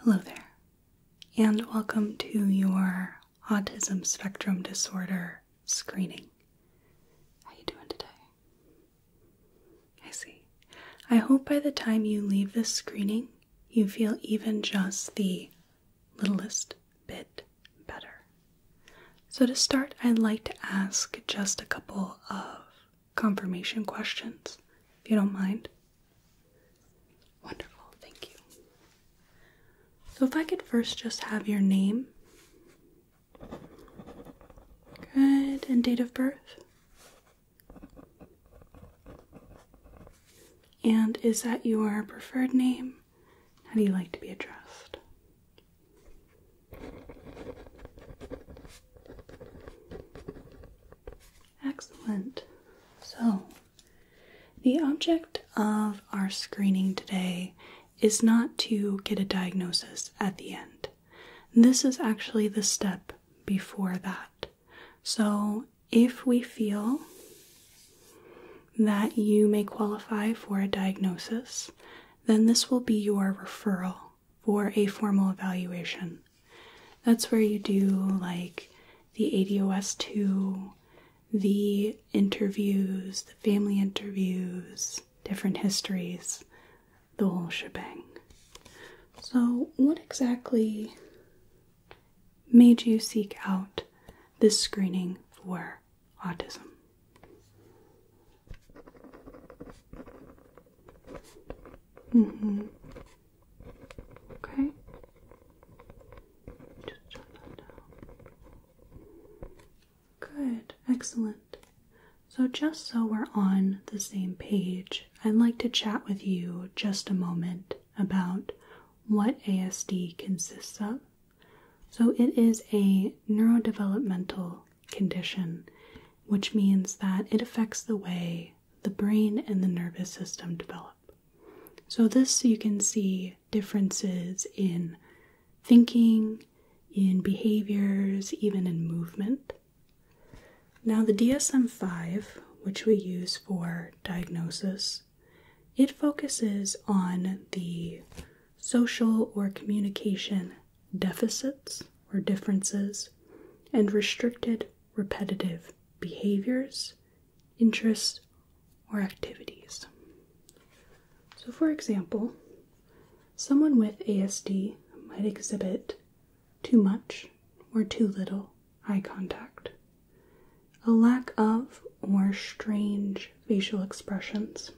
Hello there, and welcome to your autism spectrum disorder screening. How you doing today? I see. I hope by the time you leave this screening, you feel even just the littlest bit better. So to start, I'd like to ask just a couple of confirmation questions, if you don't mind. Wonderful, thank you. So, if I could first just have your name. Good, and date of birth. And is that your preferred name? How do you like to be addressed? Excellent. So, the object of our screening today is not to get a diagnosis at the end. This is actually the step before that. So, if we feel that you may qualify for a diagnosis, then this will be your referral for a formal evaluation. That's where you do like the ADOS 2, the interviews, the family interviews, different histories, the whole shebang. So, what exactly made you seek out this screening for autism? Mm-hmm. Okay? Good, excellent. So, just so we're on the same page, I'd like to chat with you just a moment about what ASD consists of. So, it is a neurodevelopmental condition, which means that it affects the way the brain and the nervous system develop. So, this you can see differences in thinking, in behaviors, even in movement. Now, the DSM 5, which we use for diagnosis, it focuses on the social or communication deficits or differences and restricted repetitive behaviors interests, or activities. So, for example, someone with ASD might exhibit too much or too little eye contact, a lack of or strange facial expressions,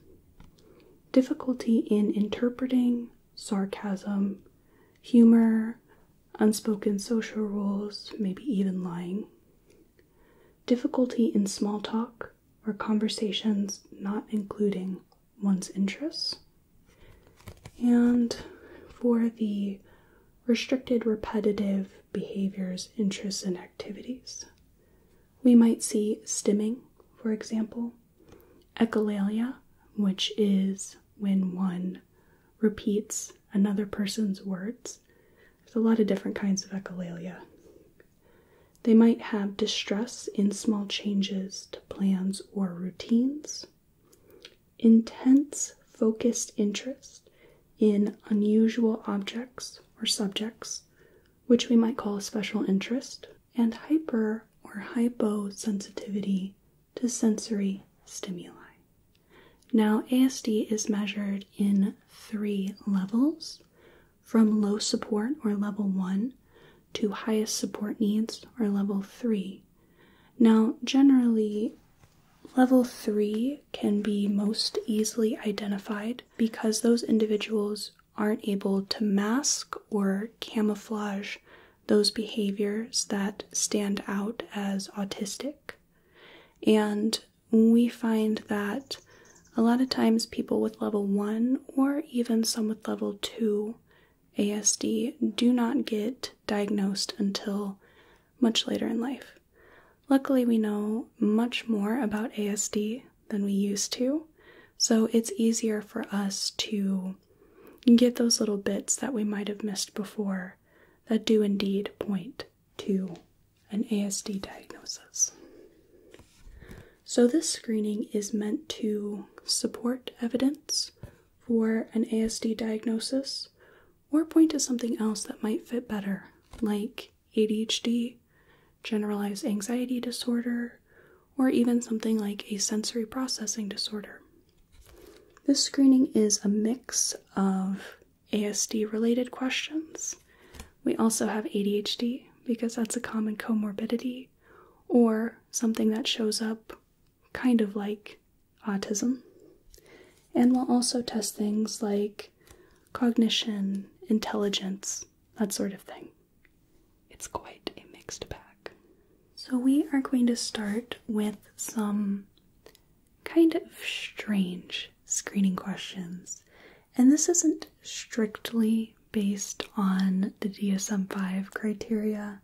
difficulty in interpreting sarcasm, humor, unspoken social rules, maybe even lying, difficulty in small talk or conversations not including one's interests, and for the restricted repetitive behaviors, interests, and activities. We might see stimming, for example, echolalia, which is when one repeats another person's words. There's a lot of different kinds of echolalia. They might have distress in small changes to plans or routines, intense focused interest in unusual objects or subjects, which we might call a special interest, and hyper or hypo sensitivity to sensory stimuli. Now, ASD is measured in three levels from low support or level one to highest support needs or level three. Now, generally, level three can be most easily identified because those individuals aren't able to mask or camouflage those behaviors that stand out as autistic. And we find that a lot of times people with level 1 or even some with level 2 ASD do not get diagnosed until much later in life. Luckily, we know much more about ASD than we used to, so it's easier for us to get those little bits that we might have missed before that do indeed point to an ASD diagnosis. So, this screening is meant to support evidence for an ASD diagnosis or point to something else that might fit better, like ADHD, generalized anxiety disorder, or even something like a sensory processing disorder. This screening is a mix of ASD related questions. We also have ADHD because that's a common comorbidity or something that shows up kind of like autism. And we'll also test things like cognition, intelligence, that sort of thing. It's quite a mixed pack. So, we are going to start with some kind of strange screening questions, and this isn't strictly based on the DSM 5 criteria,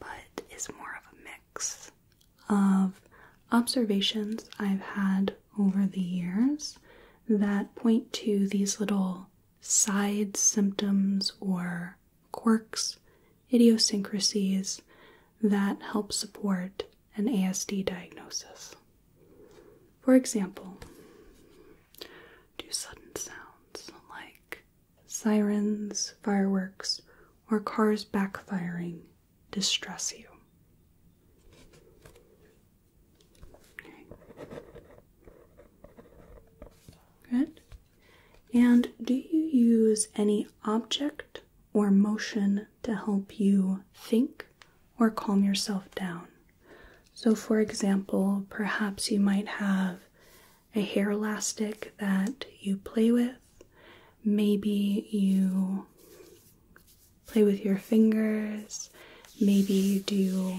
but is more of a mix of observations I've had over the years that point to these little side symptoms or quirks idiosyncrasies that help support an ASD diagnosis. For example, do sudden sounds like sirens, fireworks, or cars backfiring distress you? Good. And do you use any object or motion to help you think or calm yourself down. So, for example, perhaps you might have a hair elastic that you play with. Maybe you play with your fingers. Maybe you do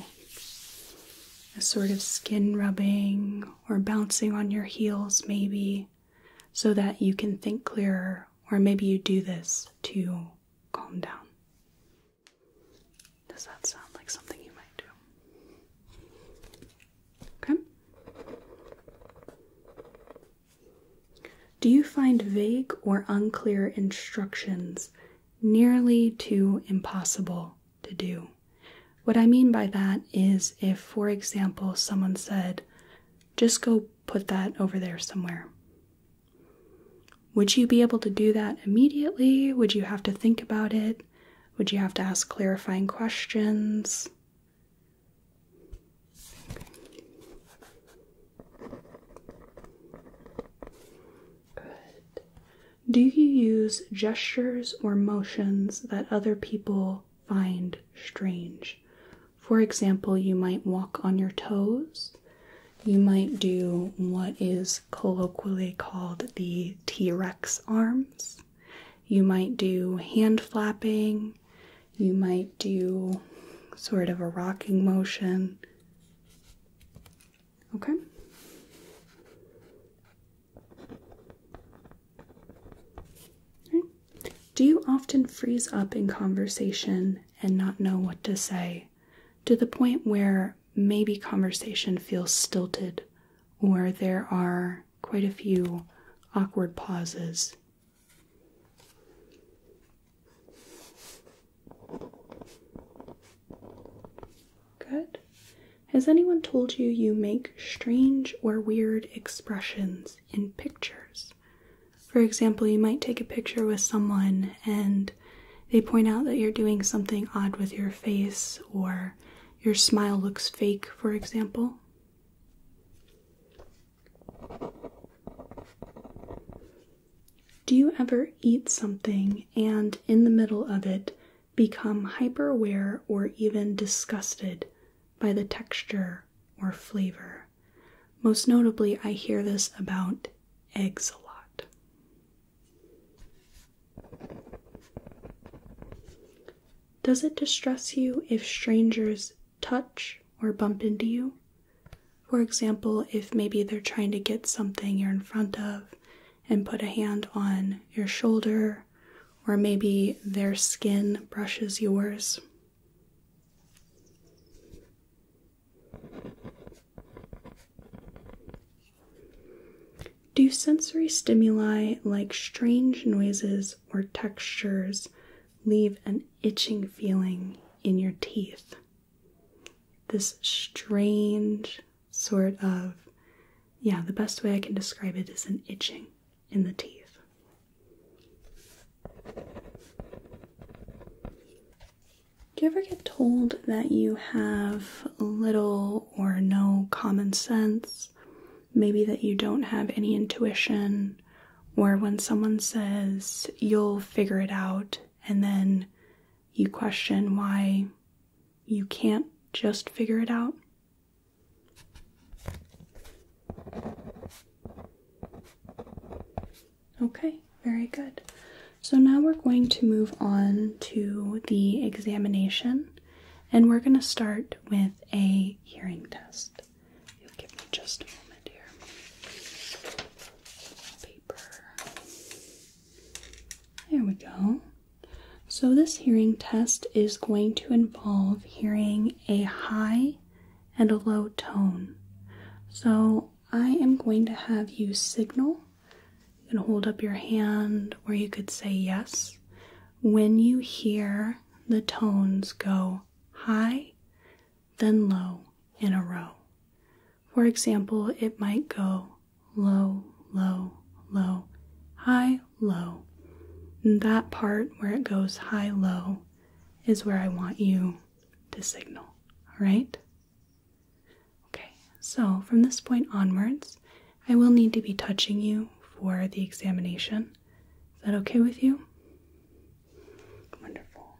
a sort of skin rubbing or bouncing on your heels, maybe so that you can think clearer, or maybe you do this to calm down. Does that sound like something you might do? Okay. Do you find vague or unclear instructions nearly too impossible to do? What I mean by that is if, for example, someone said, just go put that over there somewhere. Would you be able to do that immediately? Would you have to think about it? Would you have to ask clarifying questions? Do you use gestures or motions that other people find strange? For example, you might walk on your toes. You might do what is colloquially called the T Rex arms. You might do hand flapping. You might do sort of a rocking motion. Okay. okay. Do you often freeze up in conversation and not know what to say to the point where maybe conversation feels stilted or there are quite a few awkward pauses? Good. Has anyone told you you make strange or weird expressions in pictures? For example, you might take a picture with someone and they point out that you're doing something odd with your face or your smile looks fake, for example. Do you ever eat something and in the middle of it become hyper aware or even disgusted by the texture or flavor? Most notably, I hear this about eggs a lot. Does it distress you if strangers touch or bump into you? For example, if maybe they're trying to get something you're in front of and put a hand on your shoulder, or maybe their skin brushes yours. Do sensory stimuli like strange noises or textures leave an itching feeling in your teeth? This strange sort of, yeah, the best way I can describe it is an itching in the teeth. Do you ever get told that you have little or no common sense? Maybe that you don't have any intuition, or when someone says you'll figure it out, and then you question why you can't just figure it out? Okay, very good. So now we're going to move on to the examination and we're going to start with a hearing test. give me just a moment here. Paper. There we go. So this hearing test is going to involve hearing a high and a low tone. So I am going to have you signal. You can hold up your hand or you could say yes when you hear the tones go high, then low in a row. For example, it might go low, low, low, high, low. And that part where it goes high, low is where I want you to signal, right? Okay, so from this point onwards, I will need to be touching you for the examination. Is that okay with you? Wonderful.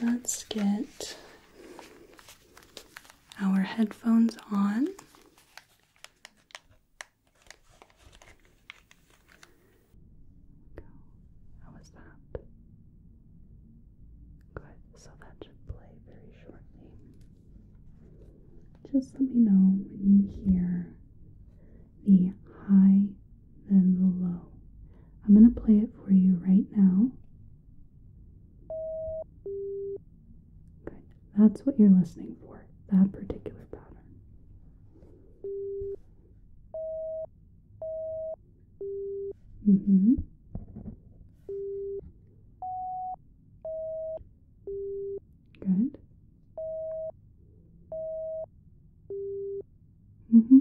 Let's get our headphones on. How was that? Good. So that should play very shortly. Just let me know when you hear the high, then the low. I'm going to play it for you right now. Good. That's what you're listening for, that particular pattern. Mm-hmm. Good. Mm-hmm.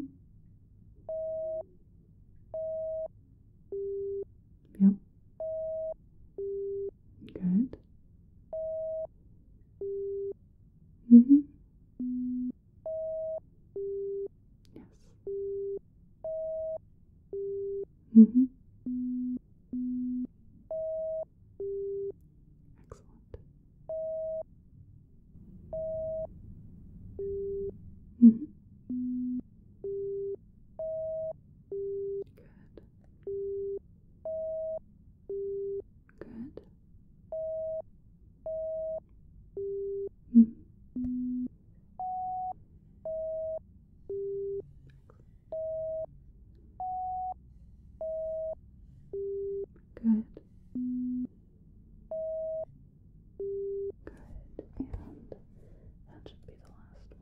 Yep. Good. Mm -hmm. Yes. Mm -hmm. Excellent. Mm -hmm. Good. Good. Mm. Good. Good. And that should be the last one.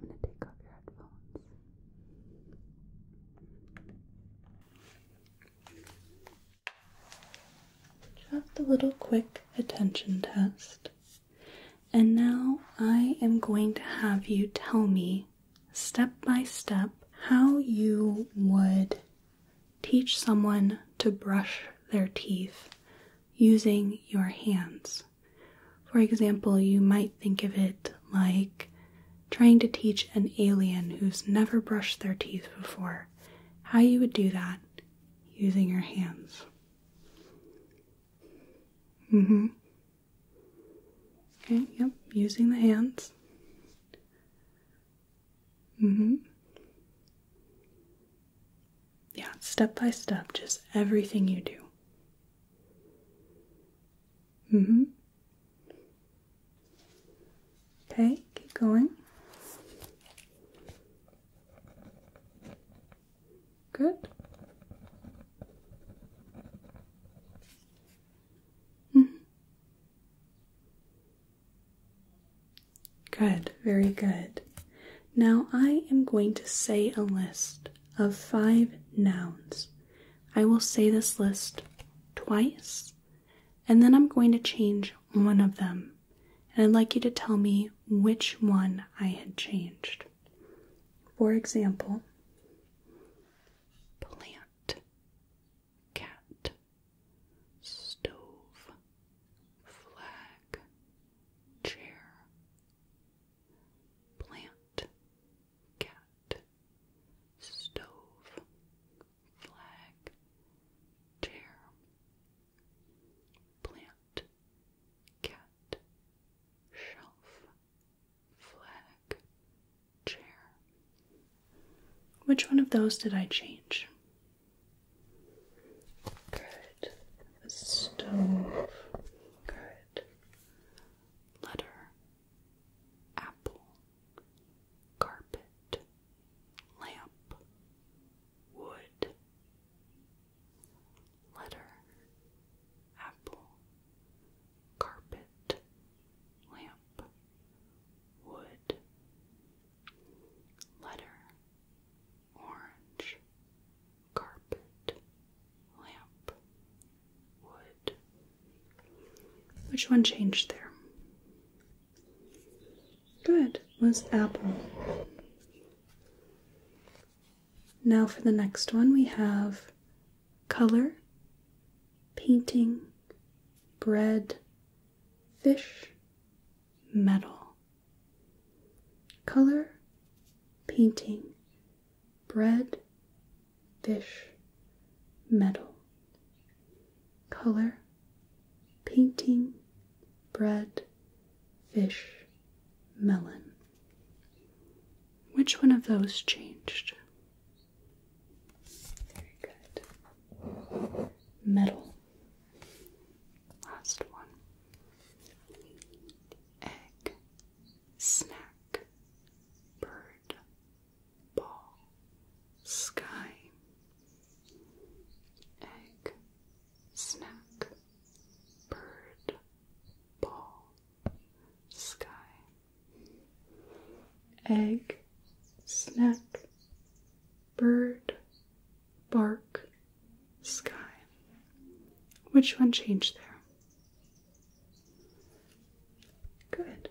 I'm going to take off your headphones. Just a little quick attention test. And now I am going to have you tell me step by step how you would teach someone to brush their teeth using your hands. For example, you might think of it like trying to teach an alien who's never brushed their teeth before how you would do that using your hands. Mm hmm. Okay, yep, using the hands. Mm hmm. Yeah, step by step, just everything you do. Mm hmm. Okay, keep going. Good. Mm-hmm. Good, very good. Now I am going to say a list of five nouns. I will say this list twice, and then I'm going to change one of them. And I'd like you to tell me which one I had changed. For example, plant, cat, stove, flag, chair, plant, cat, stove, flag, chair, plant, cat, shelf, flag, chair. Which one of those did I change? Good. stove. Good. Letter apple, carpet, lamp, wood, letter, apple, carpet, lamp, wood, letter, orange, carpet, lamp, which one changed there? Good was apple. Now for the next one, we have color, painting, bread, fish, metal. Color, painting, bread, fish, metal. Color, painting, bread, fish, melon. Which one of those changed? Very good. Metal. Last one. Egg, snack, bird, ball, sky, egg, snack, bird, ball, sky, egg, snack, bird, bark, sky. Which one changed there? Good.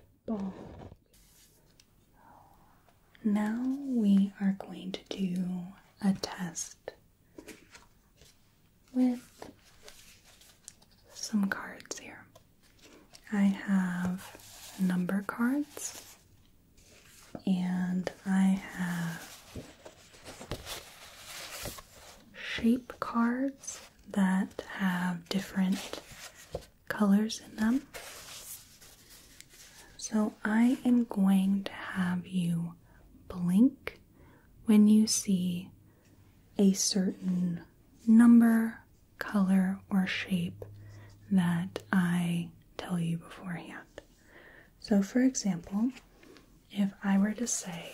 Now we are going to do a test with some cards here. I have number cards and I have shape cards that have different colors in them. So I am going to have you blink when you see a certain number, color, or shape that I tell you beforehand. So, for example, if I were to say,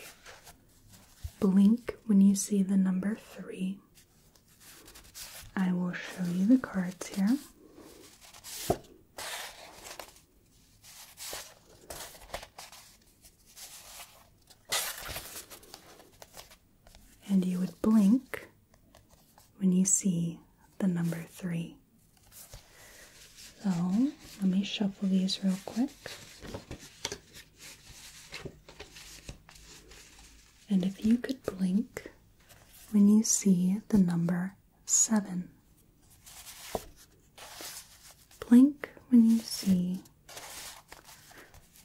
blink when you see the number three, I will show you the cards here. And you would blink when you see the number three. So let me shuffle these real quick. And if you could blink when you see the number seven, blink when you see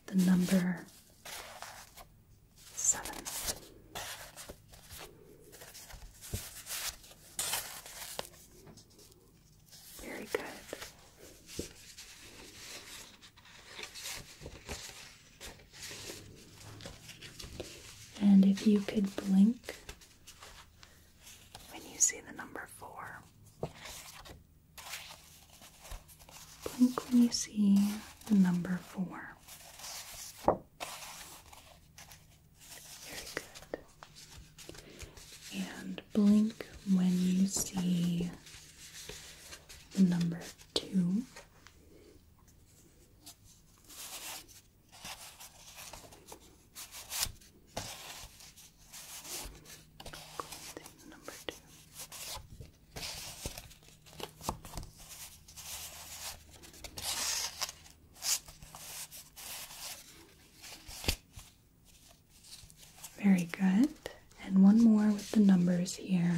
the number seven. Very good. And if you could blink when you see the number four, blink when you see the number four. Very good. And blink when you see number two. number two. Very good and one more with the numbers here.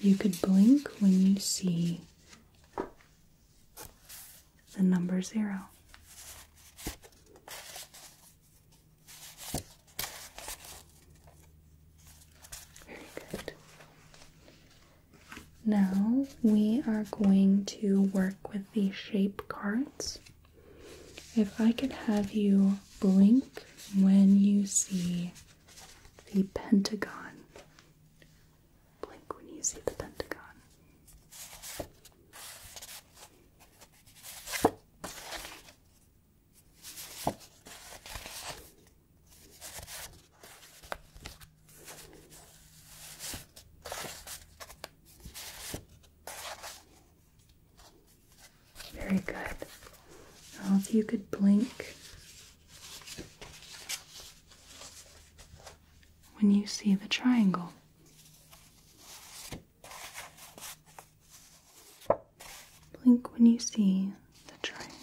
You could blink when you see the number zero. Very good. Now we are going to work with the shape cards. If I could have you blink when you see the Pentagon, blink when you see the Pentagon. Very good. Now, if you could blink when you see the triangle. Blink when you see the triangle.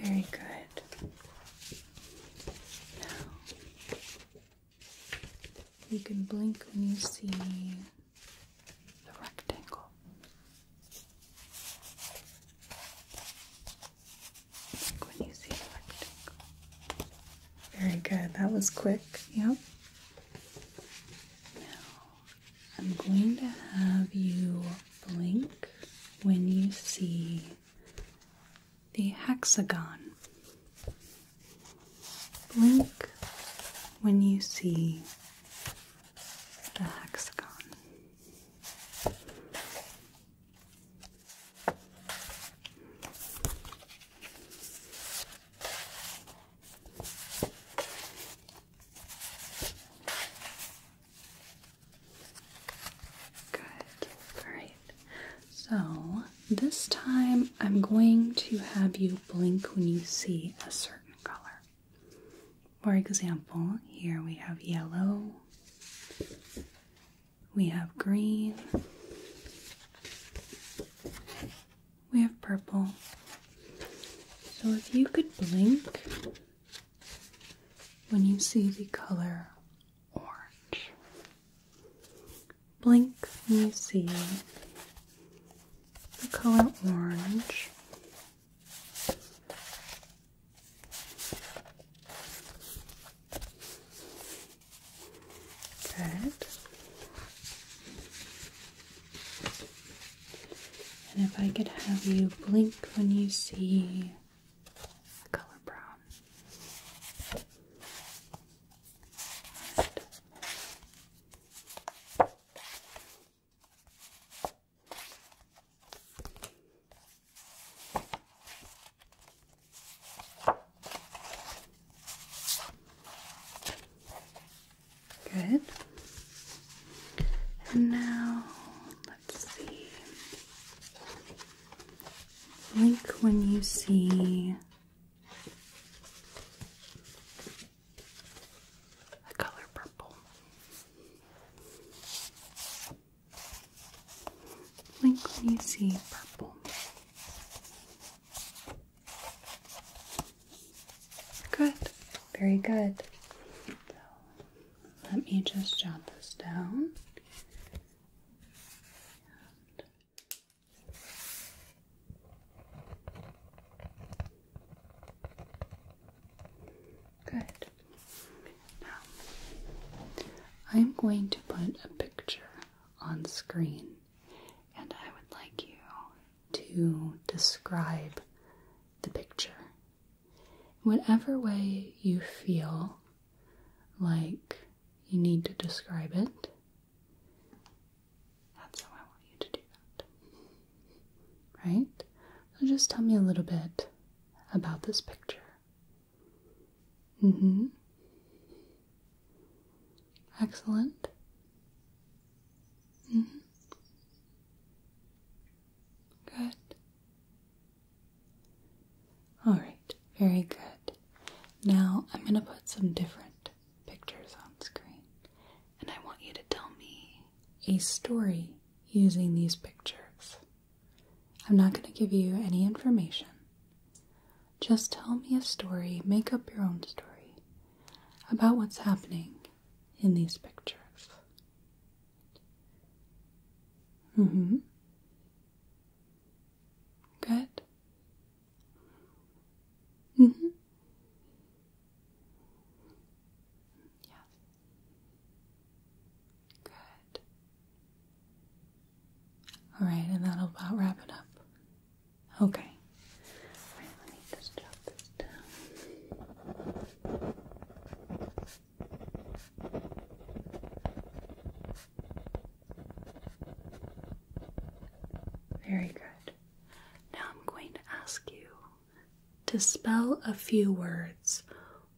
Very good. Now, you can blink when you see the rectangle. Blink when you see the rectangle. Very good. That was quick. Yep. I'm going to have you blink when you see the hexagon. Blink when you see the hexagon. Good. All right. So this time I'm going to have you blink when you see a certain color. For example, here we have yellow, we have green, we have purple. So if you could blink when you see the color orange, blink when you see the color orange. And if I could have you blink when you see the color brown. Good. And now, let's see. Blink when you see the color purple. Blink when you see purple. Good, very good. let me just jot this down. Good. Now, I'm going to put a picture on screen and I would like you to describe the picture. Whatever way you feel like you need to describe it, that's how I want you to do that. Right? So just tell me a little bit about this picture. Mm hmm. Excellent. -hmm. Good. All right, very good. Now I'm going to put some different pictures on screen, and I want you to tell me a story using these pictures. I'm not going to give you any information. Just tell me a story, make up your own story about what's happening in these pictures. hmm. Good. hmm. Yeah. Good. All right, and that'll about wrap it up. Okay. Very good. Now I'm going to ask you to spell a few words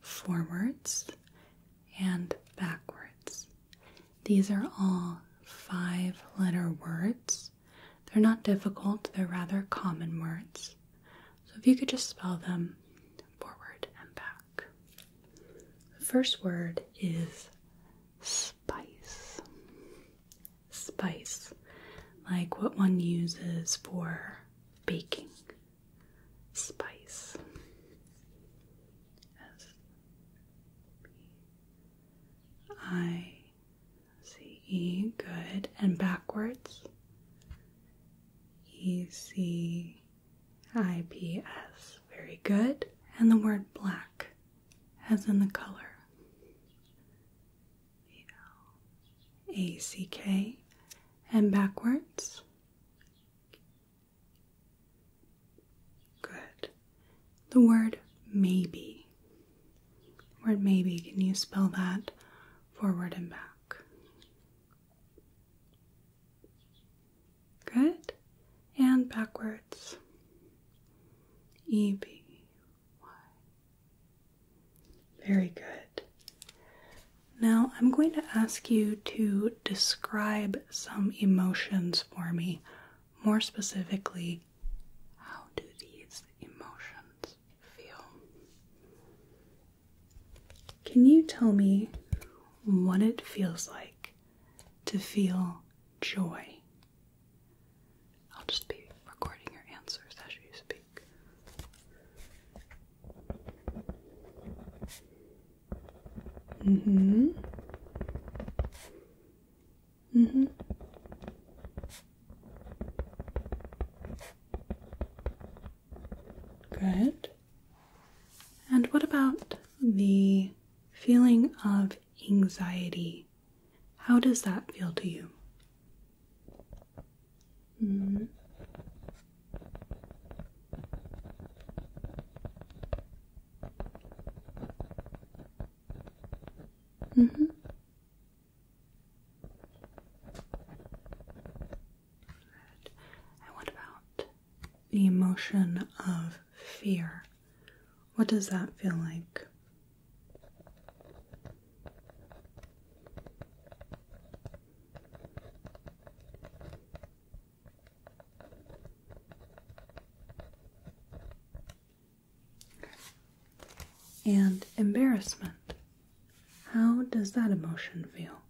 forwards and backwards. These are all five letter words. They're not difficult, they're rather common words. So if you could just spell them forward and back. The first word is spice. Spice, like what one uses for baking. Spice. S P I C E, good, and backwards E C I P S, very good, and the word black, as in the color. A C K, and backwards. Good the word maybe. Word maybe, can you spell that forward and back? Good. And backwards. E B Y. Very good. Now I'm going to ask you to describe some emotions for me, more specifically how do these emotions feel? Can you tell me what it feels like to feel joy? I'll just be recording your answers as you speak. Mm hmm. Mm hmm. Good. And what about the feeling of anxiety? How does that feel to you? Mm. Mm -hmm. And what about the emotion of fear? What does that feel like? And embarrassment. How does that emotion feel?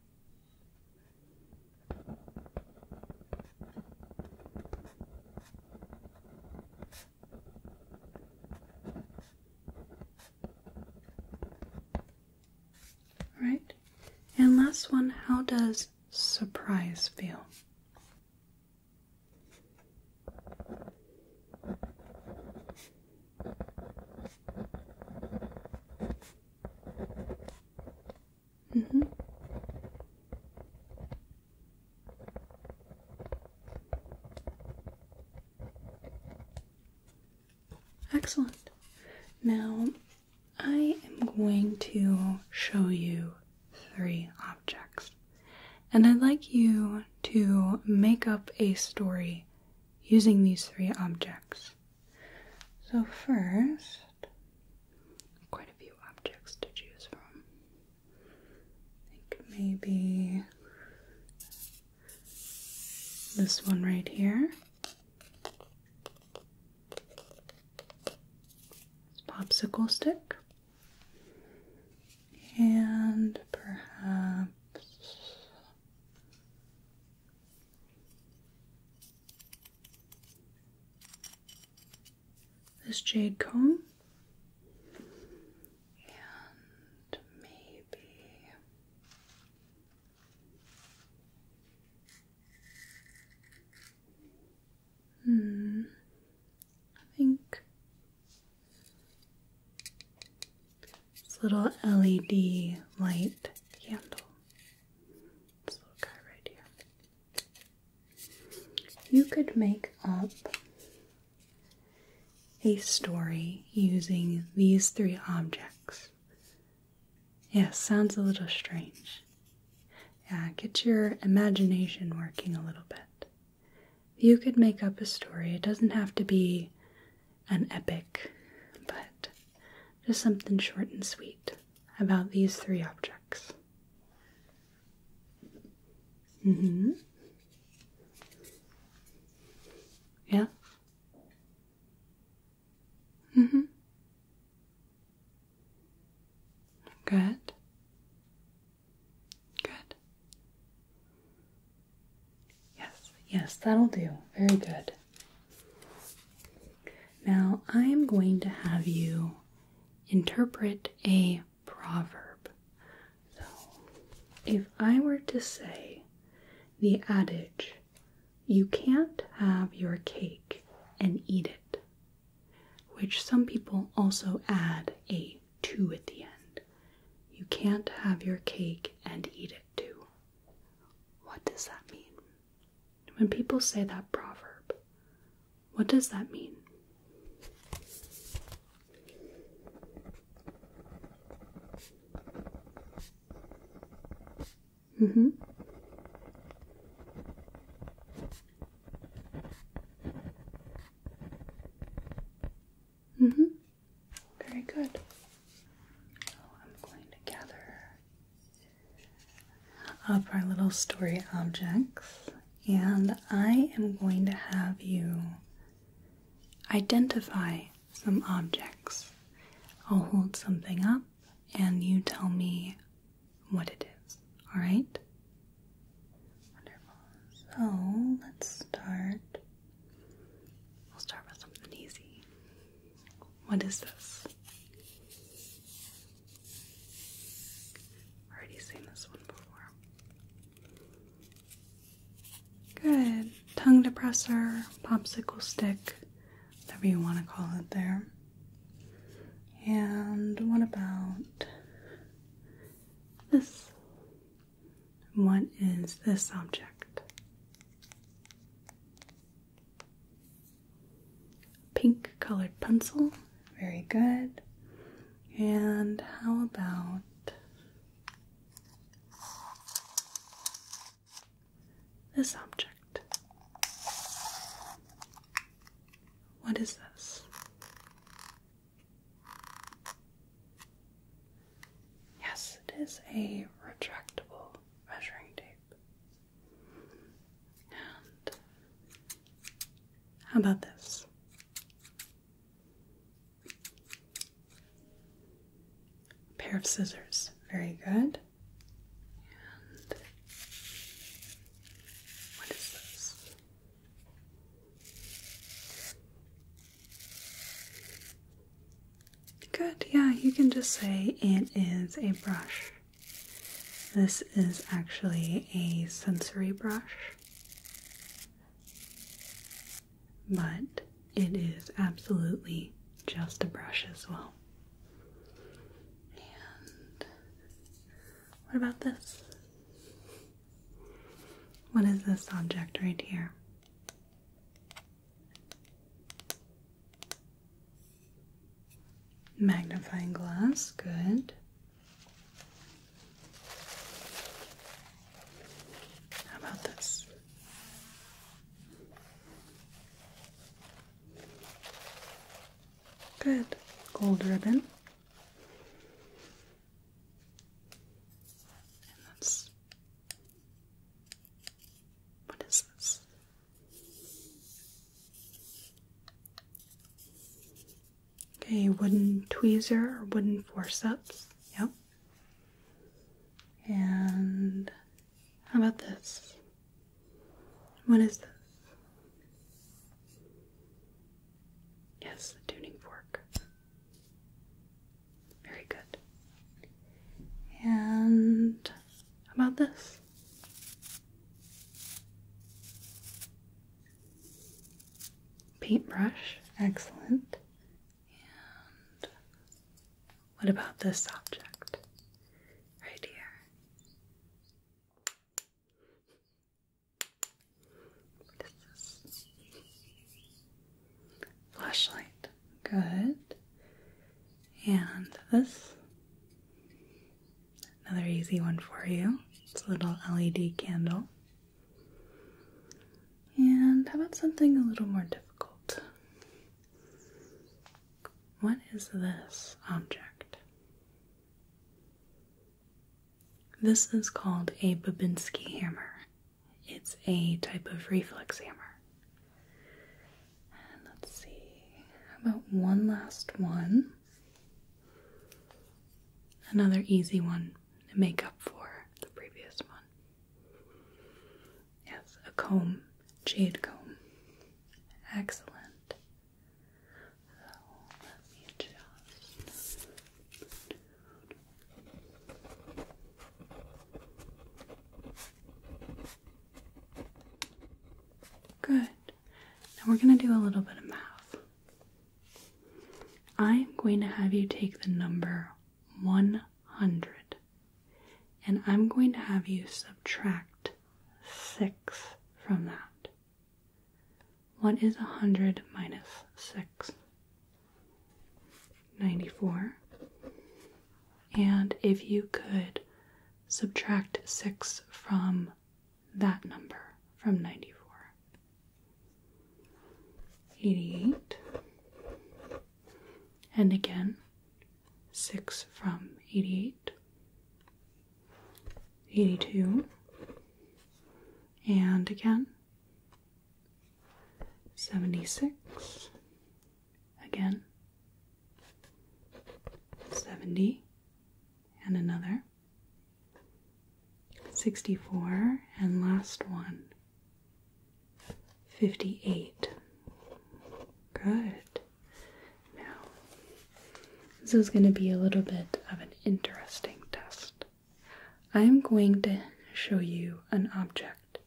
All right. And last one, how does surprise feel? Mm-hmm. Excellent. Now I am going to show you three objects. And I'd like you to make up a story using these three objects. So, first, quite a few objects to choose from. think maybe this one right here. It's popsicle stick and perhaps this jade comb and maybe hmm I think this little LED light candle. This little guy right here. You could make up a story using these three objects. Yeah, sounds a little strange. Yeah, get your imagination working a little bit. You could make up a story. It doesn't have to be an epic, but just something short and sweet about these three objects. Mm hmm. Yeah. Mm hmm. Good. Good. Yes, yes, that'll do. Very good. Now I am going to have you interpret a proverb. So if I were to say the adage, you can't have your cake and eat it, which some people also add a two at the end. You can't have your cake and eat it too. What does that mean? When people say that proverb, what does that mean? Mm-hmm. Mm-hmm. Very good. So I'm going to gather up our little story objects, and I am going to have you identify some objects. I'll hold something up, and you tell me what it is. All right? Wonderful. So let's start. We'll start with something easy. What is this? Already seen this one before. Good. Tongue depressor, popsicle stick, whatever you want to call it there. And what about this? What is this object? Pink colored pencil. Very good. And how about this object? What is this? Yes, it is a retractable measuring tape. And how about this? pair of scissors. Very good. And what is this? Good, yeah, you can just say it is a brush. This is actually a sensory brush, but it is absolutely just a brush as well. And what about this? What is this object right here? Magnifying glass, good. How about this? Good. Gold ribbon. What is this? Okay, wooden tweezer or wooden forceps. Yep. And how about this? What is this? Yes, the tuning fork. Very good. And about this? Paintbrush, excellent. And what about this object right here? Flashlight. Good. And this. Another easy one for you. It's a little LED candle. And how about something a little more difficult? What is this object? This is called a Babinski hammer. It's a type of reflex hammer. And let's see, how about one last one? Another easy one to make up for the previous one. Yes, a comb, jade comb. Excellent. Good. Now we're going to do a little bit of math. I'm going to have you take the number 100 and I'm going to have you subtract 6 from that. What is 100 minus 6? 94. And if you could subtract 6 from that number, from 94, 88. And again, 6 from 88, 82. And again, 76 again 70 and another 64 and last one 58 good now this is going to be a little bit of an interesting test I'm going to show you an object,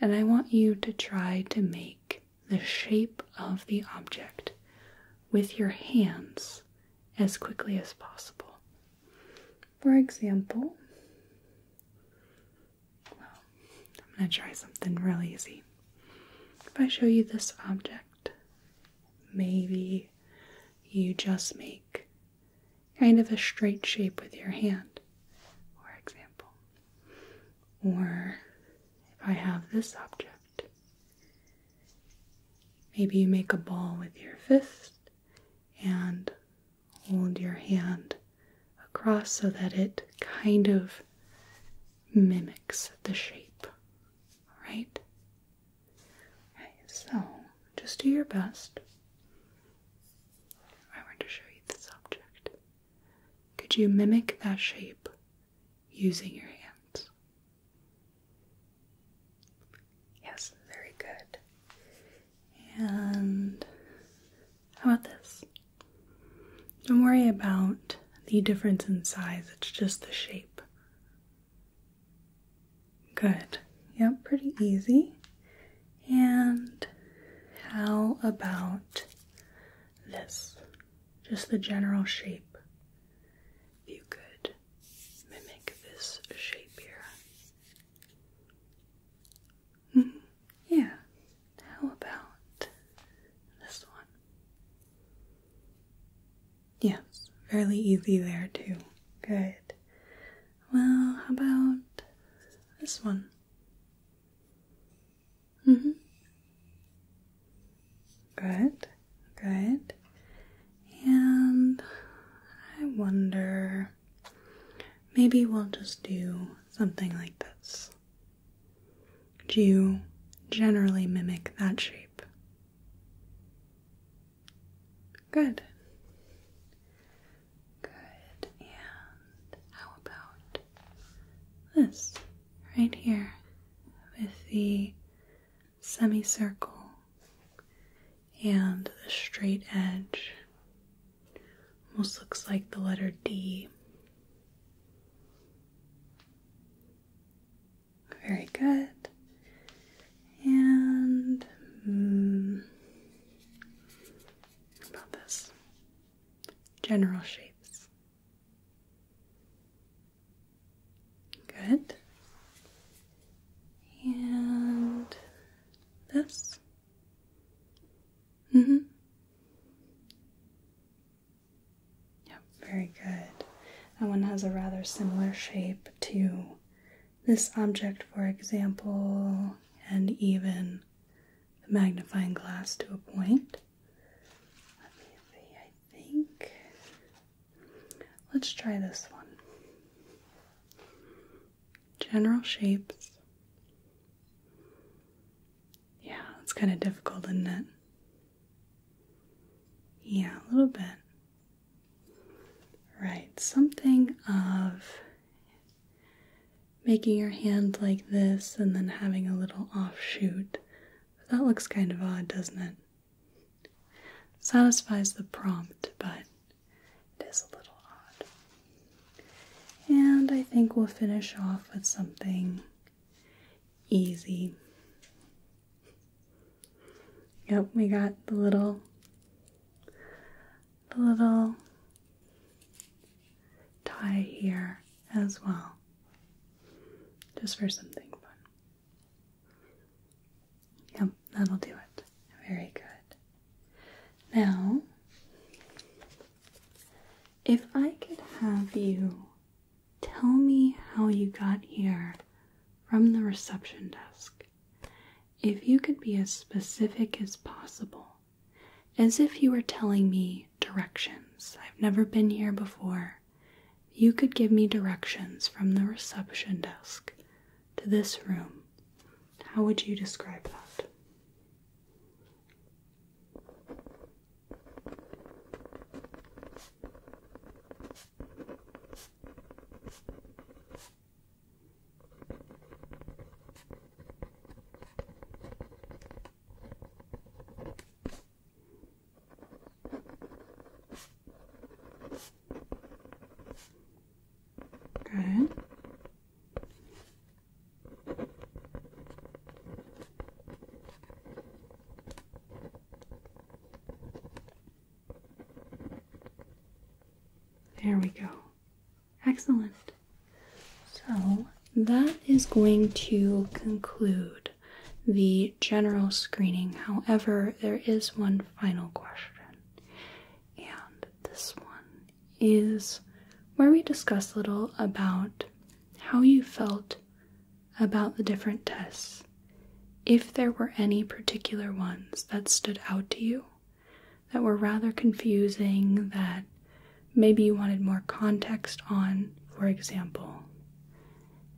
and I want you to try to make the shape of the object with your hands as quickly as possible. For example, I'm going to try something real easy. If I show you this object, maybe you just make kind of a straight shape with your hand, for example. Or if I have this object, maybe you make a ball with your fist and hold your hand across so that it kind of mimics the shape, all right? so just do your best. I want to show you this object. Could you mimic that shape using your hands? Yes, very good. And how about this? Don't worry about the difference in size, it's just the shape. Good. Yep, pretty easy. And how about this? Just the general shape. If you could mimic this shape here. Mm-hmm. Yeah. How about this one? Yes, fairly easy there too. Good. Well, how about this one? hmm. Good, good. And I wonder, maybe we'll just do something like this. Do you generally mimic that shape? Good. Good. And how about this right here with the semicircle and the straight edge? Almost looks like the letter D. Very good. And mm, about this? General shapes. Good. And this. Mm-hmm. Yep, very good. That one has a rather similar shape too this object, for example, and even the magnifying glass to a point. Let me see, I think. Let's try this one. General shapes. Yeah, it's kind of difficult, isn't it? Yeah, a little bit. Right, something of making your hand like this and then having a little offshoot. that looks kind of odd, doesn't it? Satisfies the prompt, but it is a little odd. And I think we'll finish off with something easy. Yep, we got the little the little tie here as well, just for something fun. Yep, that'll do it. Very good. Now, if I could have you tell me how you got here from the reception desk, if you could be as specific as possible, as if you were telling me directions, I've never been here before, you could give me directions from the reception desk to this room, how would you describe that? Good. There we go. Excellent. So that is going to conclude the general screening. However, there is one final question, and this one is where we discuss a little about how you felt about the different tests, if there were any particular ones that stood out to you that were rather confusing, that maybe you wanted more context on, for example,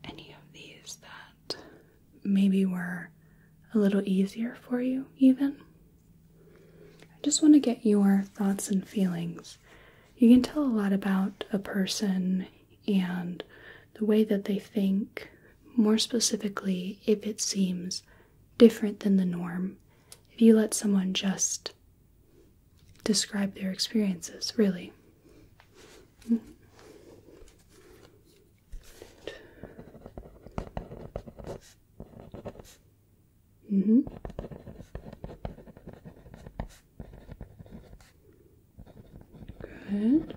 any of these that maybe were a little easier for you, even. I just want to get your thoughts and feelings. You can tell a lot about a person and the way that they think, more specifically, if it seems different than the norm if you let someone just describe their experiences, really. hmm Good.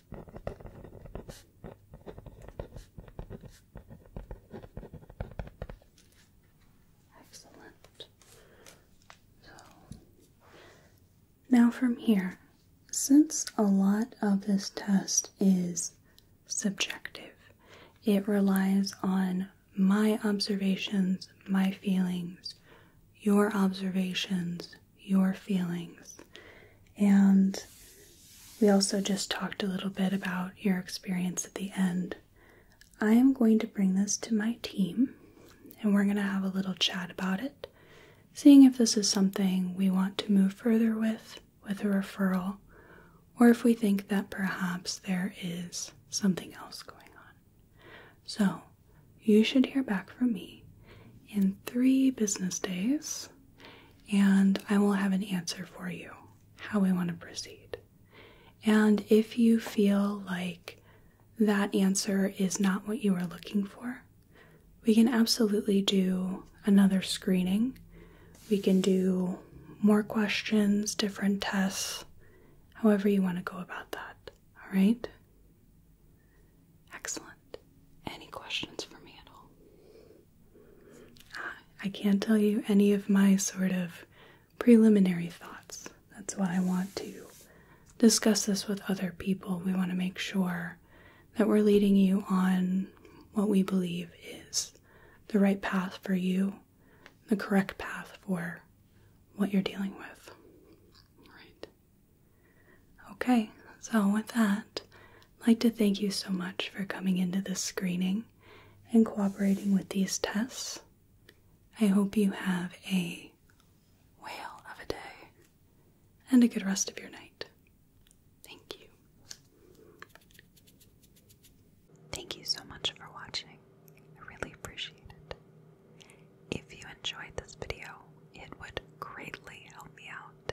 Excellent. So now from here, since a lot of this test is subjective, it relies on my observations, my feelings, your observations, your feelings. And we also just talked a little bit about your experience at the end. I am going to bring this to my team and we're going to have a little chat about it, seeing if this is something we want to move further with, with a referral, or if we think that perhaps there is something else going on. So, you should hear back from me in three business days and I will have an answer for you how we want to proceed. And if you feel like that answer is not what you are looking for, we can absolutely do another screening. We can do more questions, different tests, however you want to go about that. All right? Excellent any questions for me at all? I can't tell you any of my sort of preliminary thoughts. That's why I want to discuss this with other people. We want to make sure that we're leading you on what we believe is the right path for you, the correct path for what you're dealing with. Right. Okay, so with that, like to thank you so much for coming into this screening and cooperating with these tests. I hope you have a whale of a day and a good rest of your night. Thank you. Thank you so much for watching. I really appreciate it. If you enjoyed this video, it would greatly help me out